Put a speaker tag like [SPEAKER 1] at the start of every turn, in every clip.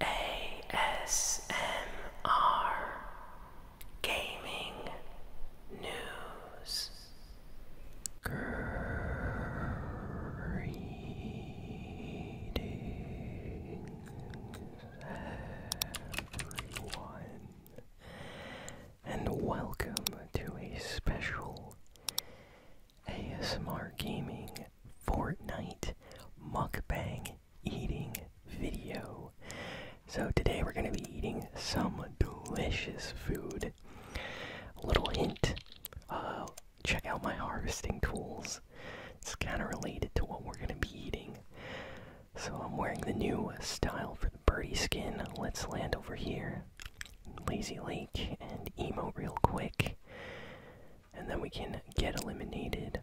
[SPEAKER 1] ASMR Gaming News Greetings everyone and welcome to a special ASMR Gaming Fortnite Mukbang Eating Video. So, today we're going to be eating some delicious food. little hint uh, check out my harvesting tools. It's kind of related to what we're going to be eating. So, I'm wearing the new style for the birdie skin. Let's land over here. Lazy Lake and emo real quick and then we can get eliminated.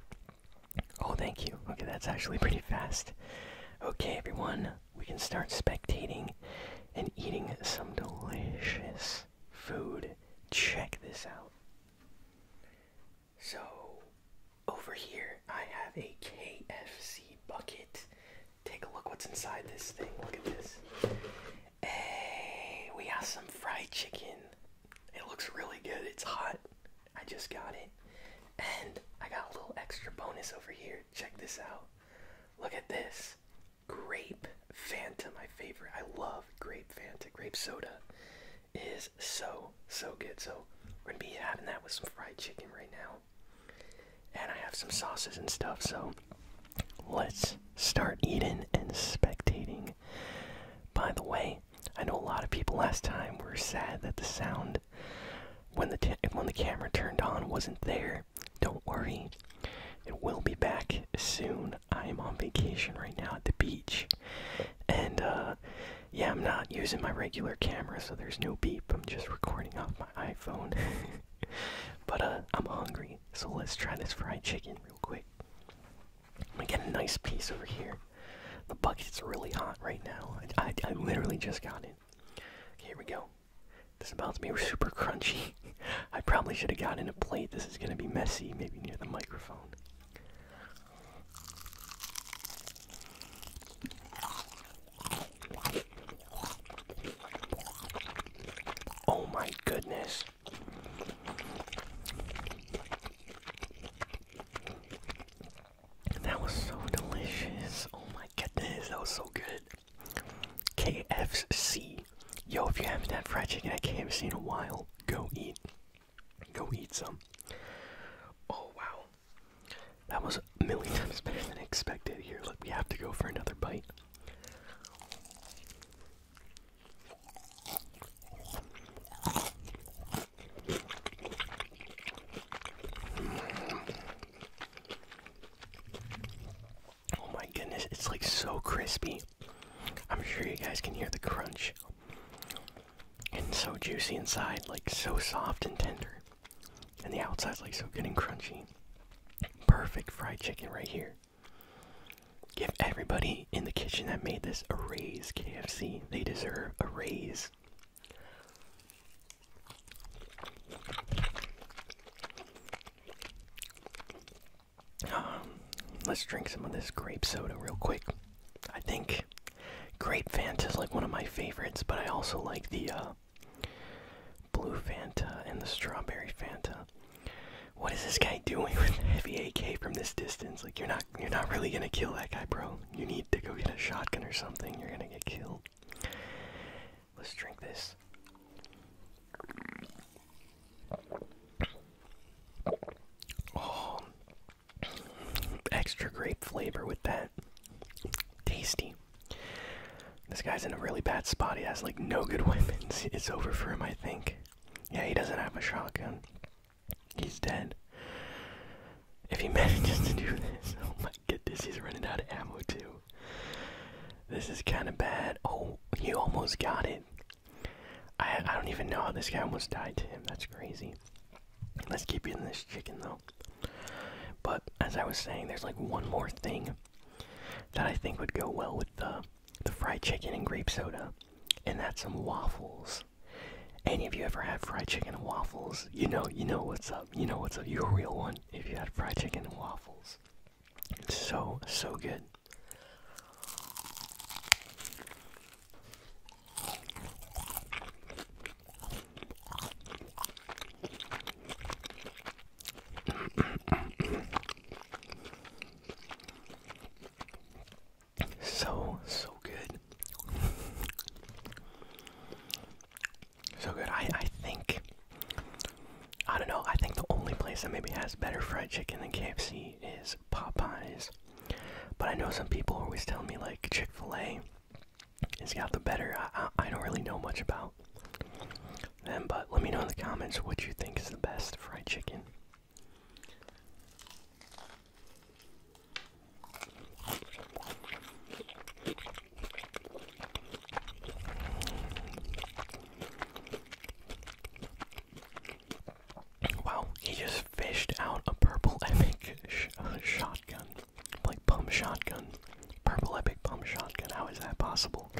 [SPEAKER 1] Oh, thank you. Okay, that's actually pretty fast. Okay, everyone, we can start spectating and eating some delicious food. Check this out. So, over here, I have a KFC bucket. Take a look what's inside this thing. Look at this. Hey, we got some fried chicken. It looks really good. It's hot. I just got it. And I got a little extra bonus over here. Check this out. Look at this. Grape Fanta, my favorite. I love grape Fanta. Grape soda is so, so good. So we're going to be having that with some fried chicken right now. And I have some sauces and stuff. So let's start eating and spectating. By the way, I know a lot of people last time were sad that the sound when the when the camera turned on wasn't there. Don't worry, it will be back soon. I am on vacation right now at the beach, and uh, yeah, I'm not using my regular camera, so there's no beep. I'm just recording off my iPhone. but uh, I'm hungry, so let's try this fried chicken real quick. I'm get a nice piece over here. The bucket's really hot right now. I, literally just got it. here we go. This is about to be super crunchy. I probably should have gotten a plate. This is gonna be messy, maybe near the microphone. Oh my goodness. That was so delicious. Oh my goodness, that was so good. KFC. Yo, if you haven't had fried chicken at KFC in a while, go eat. Go eat some. Oh wow. That was a million times better than expected. Here, look, we have to go for another bite. Oh my goodness, it's like so crispy. I'm sure you guys can hear the crunch. And so juicy inside, like so soft and tender. And the outside's like so good and crunchy. Perfect fried chicken right here. Give everybody in the kitchen that made this a raise, KFC. They deserve a raise. Um, let's drink some of this grape soda real quick. I think grape Fanta is like one of my favorites, but I also like the uh, blue Fanta and the strawberry Fanta. What is this guy doing with heavy AK from this distance? Like you're not you're not really gonna kill that guy, bro. You need to go get a shotgun or something. You're gonna get killed. Let's drink this. Oh, extra grape flavor with that. Tasty. This guy's in a really bad spot. He has like no good weapons. It's over for him, I think. Yeah, he doesn't have a shotgun. He's dead. If he manages to do this, oh my goodness, he's running out of ammo too. This is kind of bad. Oh, he almost got it. I, I don't even know how this guy almost died to him. That's crazy. Let's keep eating this chicken though. But as I was saying, there's like one more thing that I think would go well with the the fried chicken and grape soda, and that's some waffles. Any of you ever had fried chicken and waffles? You know, you know what's up. You know what's up. You're a real one if you had fried chicken and waffles. It's so so good so, so good. so good. I, I think, I don't know, I think the only place that maybe has better fried chicken than KFC is Popeyes. But I know some people always tell me, like, Chick fil A has got the better. I, I don't really know much about um, but let me know in the comments what you think is the best fried chicken. Wow, he just fished out a purple epic shotgun, like pump shotgun. Purple Epic Pump Shotgun, how is that possible?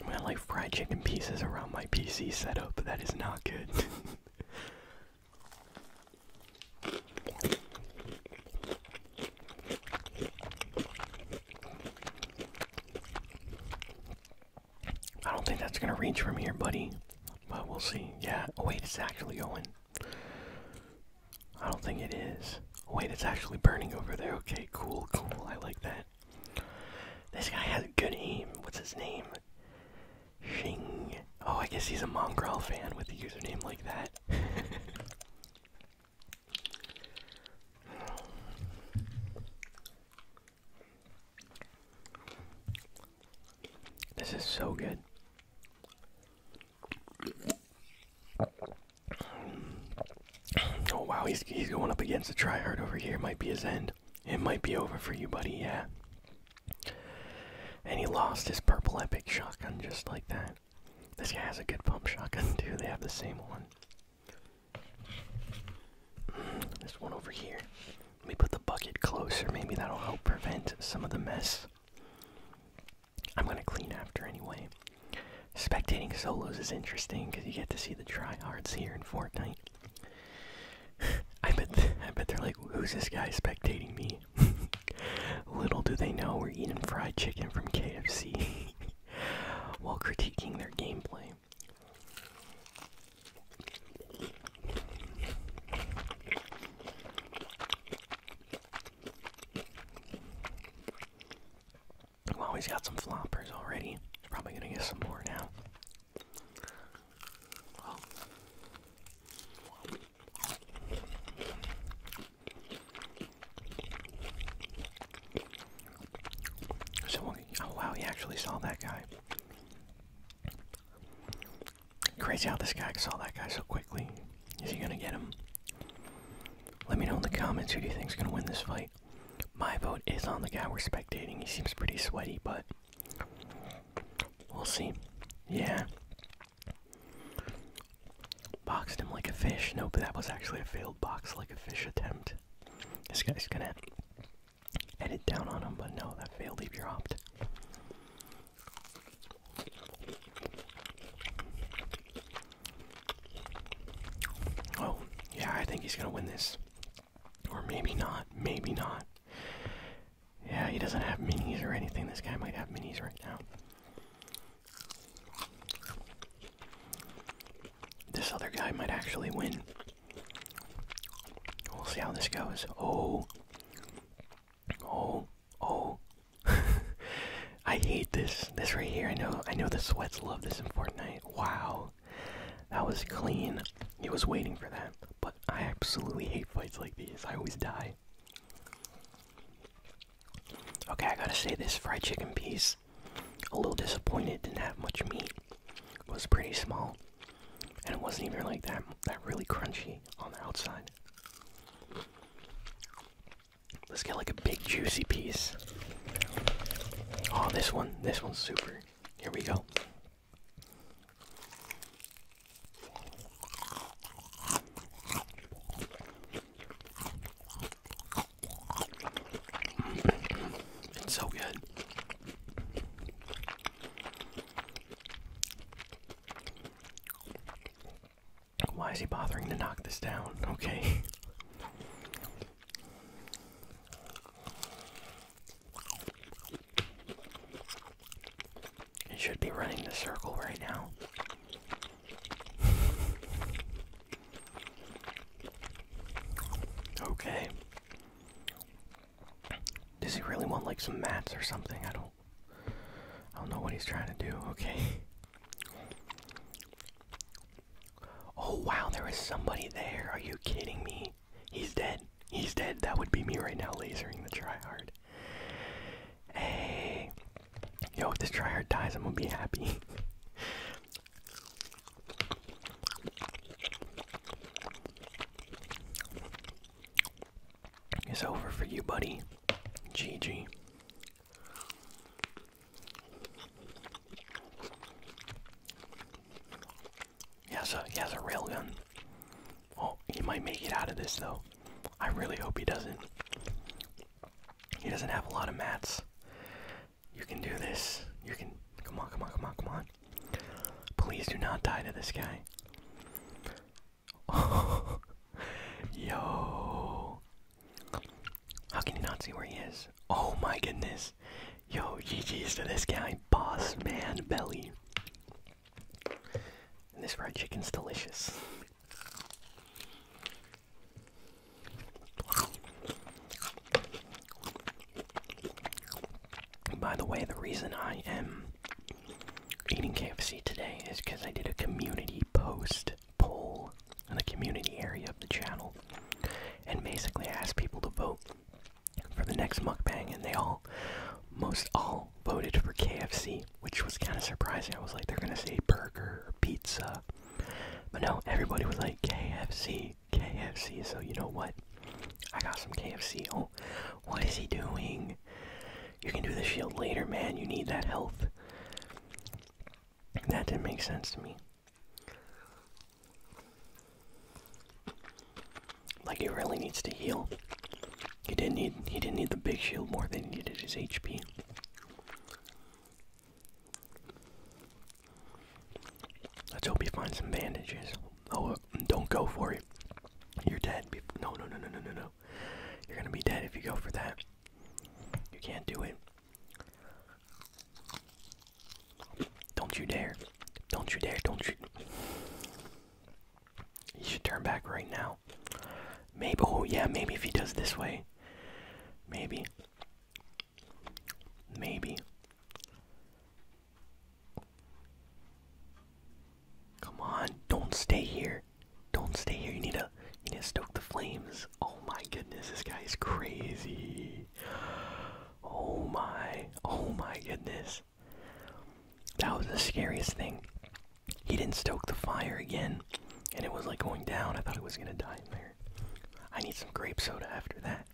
[SPEAKER 1] I'm gonna like fried chicken pieces around my PC setup, that is not good. I don't think that's gonna reach from here, buddy. But we'll see. Yeah. Oh, wait, it's actually going. I don't think it is. Oh, wait, it's actually burning over there. Okay, cool, cool. I like that. This guy has a good aim. What's his name? Shing. Oh, I guess he's a Mongrel fan with a username like that. This is so good. Oh wow, he's he's going up against a tryhard over here. Might be his end. It might be over for you, buddy. Yeah. And he lost his purple epic shotgun just like that. This guy has a good pump shotgun too. They have the same one. this one over here. Let me put the bucket closer. Maybe that'll help prevent some of the mess. I'm gonna clean after anyway. Spectating solos is interesting because you get to see the tryhards here in Fortnite. I bet, I bet they're like, who's this guy spectating me? Little do they know we're eating fried chicken from KFC while critiquing their gameplay. Well, he's got some floppers already. probably gonna get some more now. oh wow, he actually saw that guy. Crazy how this guy saw that guy so quickly. Is he gonna get him? Let me know in the comments who do you think's gonna win this fight. My vote is on the guy we're spectating. He seems pretty sweaty, but we'll see. Yeah. Boxed him like a fish. Nope, that was actually a failed box like a fish attempt. This guy's gonna edit down on them, but no, that failed if you opt. Oh, yeah, I think he's gonna win this. Or maybe not, maybe not. Yeah, he doesn't have minis or anything. This guy might have minis right now. This other guy might actually win. We'll see how this goes. Oh. Oh. Oh. I hate this. This right here. I know I know the sweats love this in Fortnite. Wow. That was clean. He was waiting for that. But I absolutely hate fights like these. I always die. Okay, I gotta say this fried chicken piece. A little disappointed, didn't have much meat. Was pretty small and it wasn't even like that that really crunchy on the outside. Let's get like a big juicy piece. Oh, this one, this one's super. Here we go. It's so good. Why is he bothering to knock this down? Okay. He should be running the circle right now. Okay. Does he really want like some mats or something? I don't I don't know what he's trying to do. Okay. Oh wow, there is somebody there. Are you kidding me? He's dead. He's dead. That would be me right now lasering the tryhard. Hey. Yo, if this tryhard dies, I'm gonna be happy. It's over for you, buddy. GG. He has a he has a railgun. Oh, he might make it out of this though. I really hope he doesn't. He doesn't have a lot of mats. You can do this. You can. Come on, come on, come on, come on. Please do not die to this guy. Oh, yo. How can you not see where he is? Oh my goodness. Yo, GG's to this guy. Boss man belly. And this fried chicken's delicious. By the way, the reason I am eating KFC today is because I did a community post poll in the community area of the channel and basically asked people to vote for the next mukbang, and they all, most all, voted for KFC, which was kind of surprising. I was like, they're gonna say burger or pizza. But no, everybody was like KFC. KFC, so you know what? I got some KFC. Oh, what is he doing? You can do the shield later, man. You need that health. That didn't make sense to me. Like he really needs to heal. He didn't need he didn't need the big shield more than he needed his HP. Let's hope he finds some bandages. Oh, uh, don't go for it. You're dead. No, no, no, no, no, no, no. You're gonna be dead if you go for that. You can't do it. Don't you dare. Don't you dare. Don't you. You should turn back right now. Maybe. Oh, yeah, maybe if he does this way. Maybe. Maybe. Come on, don't stay here. Don't stay here. You need to you need to stoke the flames. Oh my goodness, this guy is crazy. Oh my. Oh my goodness. That was the scariest thing. He didn't stoke the fire again. And it was like going down. I thought it was gonna die in there. I need some grape soda after that.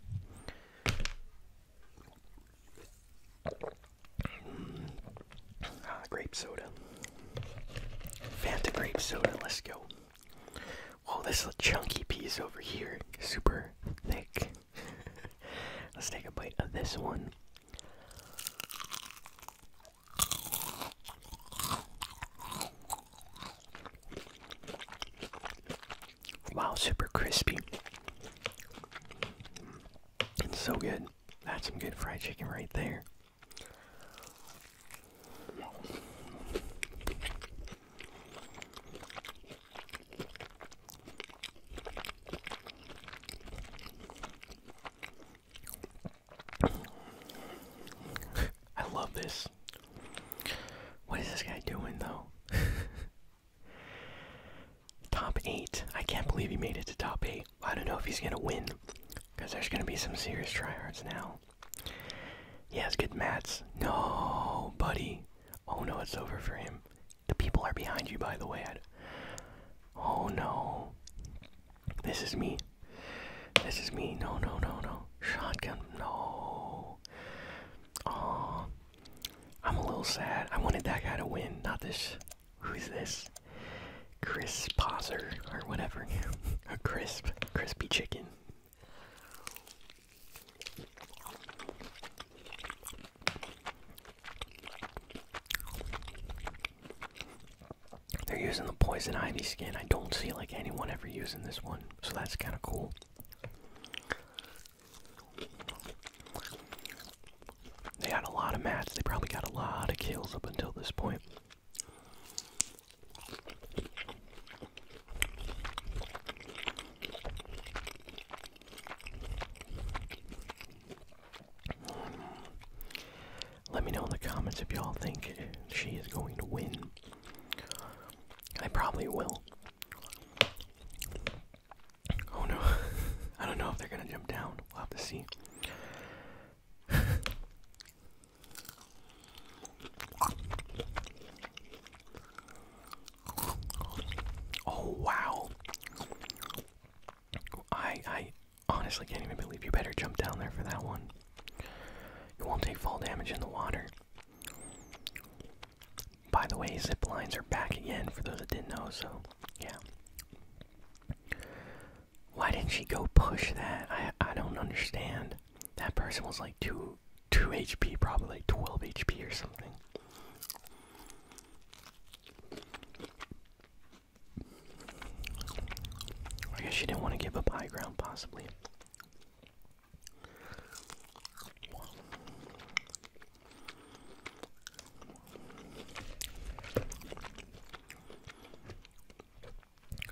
[SPEAKER 1] Ah, grape soda. Fanta grape soda, let's go. Oh, this chunky piece over here. Super thick. let's take a bite of this one. Wow, super crispy. It's so good. That's some good fried chicken right there. I love this. What is this guy doing though? top 8. I can't believe he made it to top 8. I don't know if he's going to win because there's going to be some serious tryhards now. He has good mats. No, buddy. Oh no, it's over for him. The people are behind you, by the way. Oh no. This is me. This is me. No, no, no, no. Shotgun. No. Oh, I'm a little sad. I wanted that guy to win, not this. Who's this? Chris Poser or whatever. a crisp, crispy chicken. They're using the poison ivy skin. I don't see like anyone ever using this one so that's kind of cool. They had a lot of mats. They probably got a lot of kills up until this point. Let me know in the comments if y'all think she is going to win. I probably will. Oh no. I don't know if they're gonna jump down. We'll have to see. oh wow. I I honestly can't even believe you better jump down there for that one. You won't take fall damage in the water. By the way, zip lines are back again for those that didn't know, so yeah. Why didn't she go push that? I I don't understand. That person was like two two HP, probably like twelve HP or something. I guess she didn't want to give up high ground, possibly.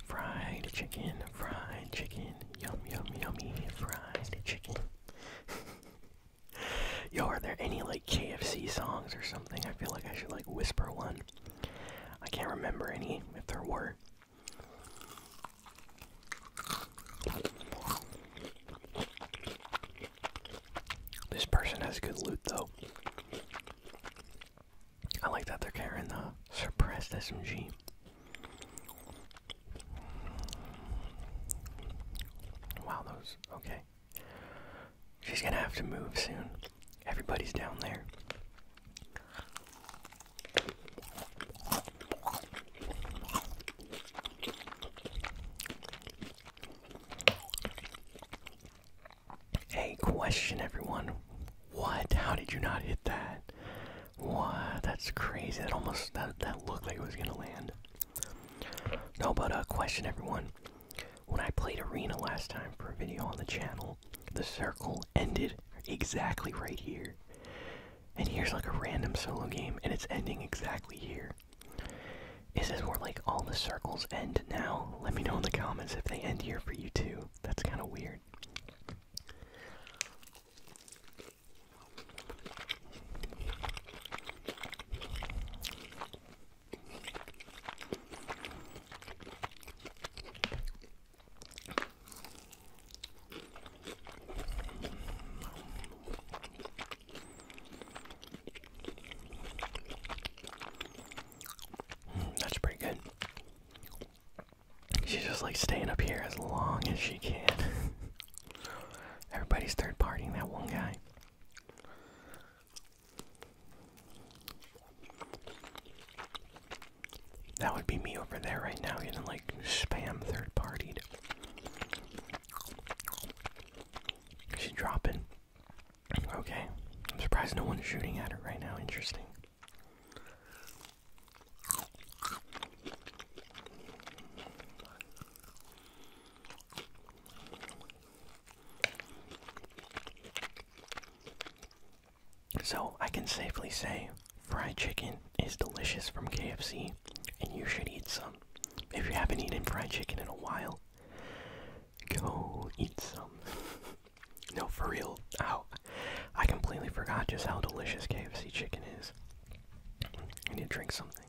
[SPEAKER 1] Fried chicken, fried chicken, yum yum yummy, fried chicken. Yo, are there any like KFC songs or something? I feel like I should like whisper one. I can't remember any if there were. This person has good loot though. I like that they're carrying the suppressed SMG. Wow, those. Okay. She's gonna have to move soon. Everybody's down there. Hey, question everyone. What? How did you not hit that? What? That's crazy. That almost that that looked like it was gonna land. No, but a uh, question everyone. When I played Arena last time for a video on the channel, the circle ended exactly right here. And here's like a random solo game, and it's ending exactly here. Is this more like all the circles end now? Let me know in the comments if they end here for you too. That's kind of weird. Mm, that's pretty good. She's just like staying up here as long as she can. Everybody's third partying that one guy. That would be me over there right now, you know, like spam third partied. She's dropping. Okay. I'm surprised no one's shooting at her right now. Interesting. So I can safely say fried chicken is delicious from KFC, and you should eat some. If you haven't eaten fried chicken in a while, go eat some. no, for real. Ow. I completely forgot just how delicious KFC chicken is. I need to drink something.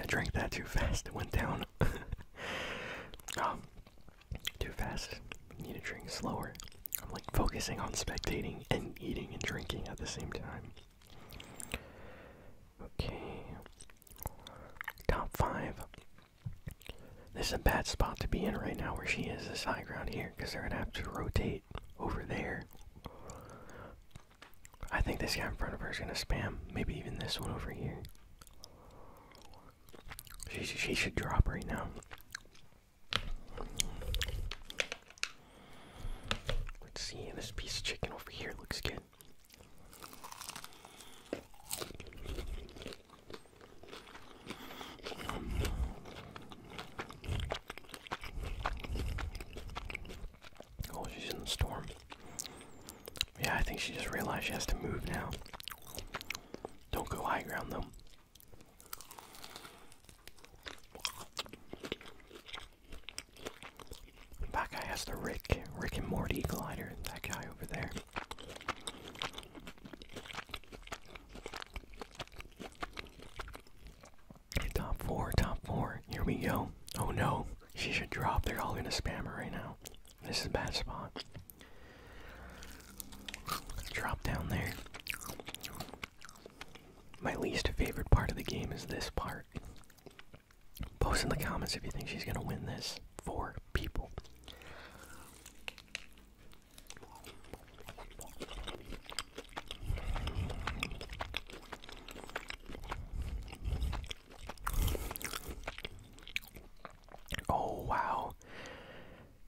[SPEAKER 1] I drank that too fast. It went down. Oh, too fast. Need to drink slower. I'm like focusing on spectating and eating and drinking at the same time. Okay. Top five. This is a bad spot to be in right now where she is, this high ground here, because they're going to have to rotate over there. I think this guy in front of her is gonna spam. Maybe even this one over here. She, she should drop right now. Let's see, this piece of chicken over here looks good. Oh, she's in the storm. Yeah, I think she just realized she has to move now. Don't go high ground though. That guy has the Rick, Rick and Morty glider. That guy over there. Top four, top four. Here we go. Oh no, she should drop. They're all gonna spam her right now. This is a bad spot. Drop down there. My least favorite part of the game is this part. Post in the comments if you think she's gonna win this. Four people. Oh, wow.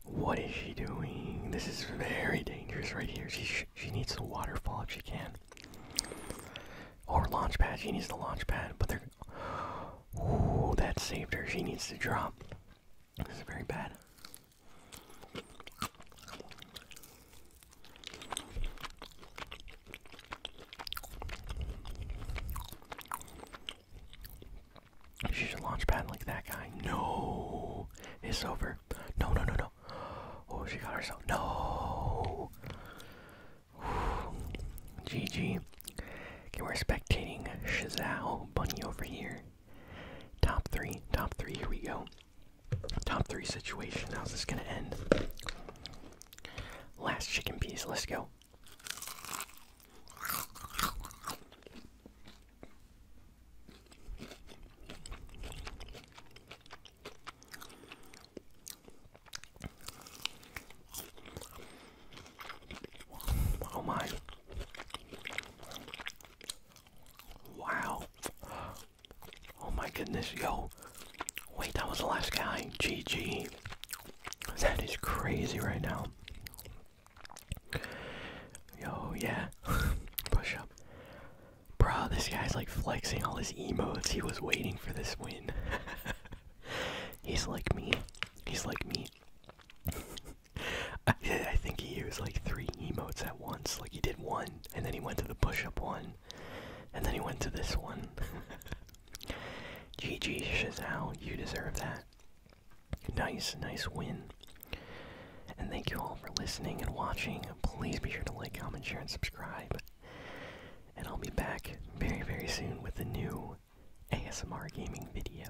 [SPEAKER 1] What is she doing? This is very dangerous right here. She, she needs the waterfall if she can. Or launch pad. She needs the launch pad, but they're. Oh, that saved her. She needs to drop. This is very bad. She should launch pad like that guy. No, it's over. No, no, no, no. Oh, she got herself. No. Whew. GG. we're spectating Shazao Bunny over here. Top three, top three, here we go. Top three situation. How's this gonna end? Last chicken piece, let's go. Oh my. Wow. Oh my goodness, yo. Wait, that was the last guy. GG. That is crazy right now. Yo, yeah. Push up. Bro, this guy's like flexing all his emotes. He was waiting for this win. He's like me. He's like me. I, think he used like three emotes at once. Like he did one, and then he went to the push-up one, and then he went to this one. GG Shazal, you deserve that. Nice, nice win. And thank you all for listening and watching. Please be sure to like, comment, share, and subscribe. And I'll be back very, very soon with a new ASMR gaming video.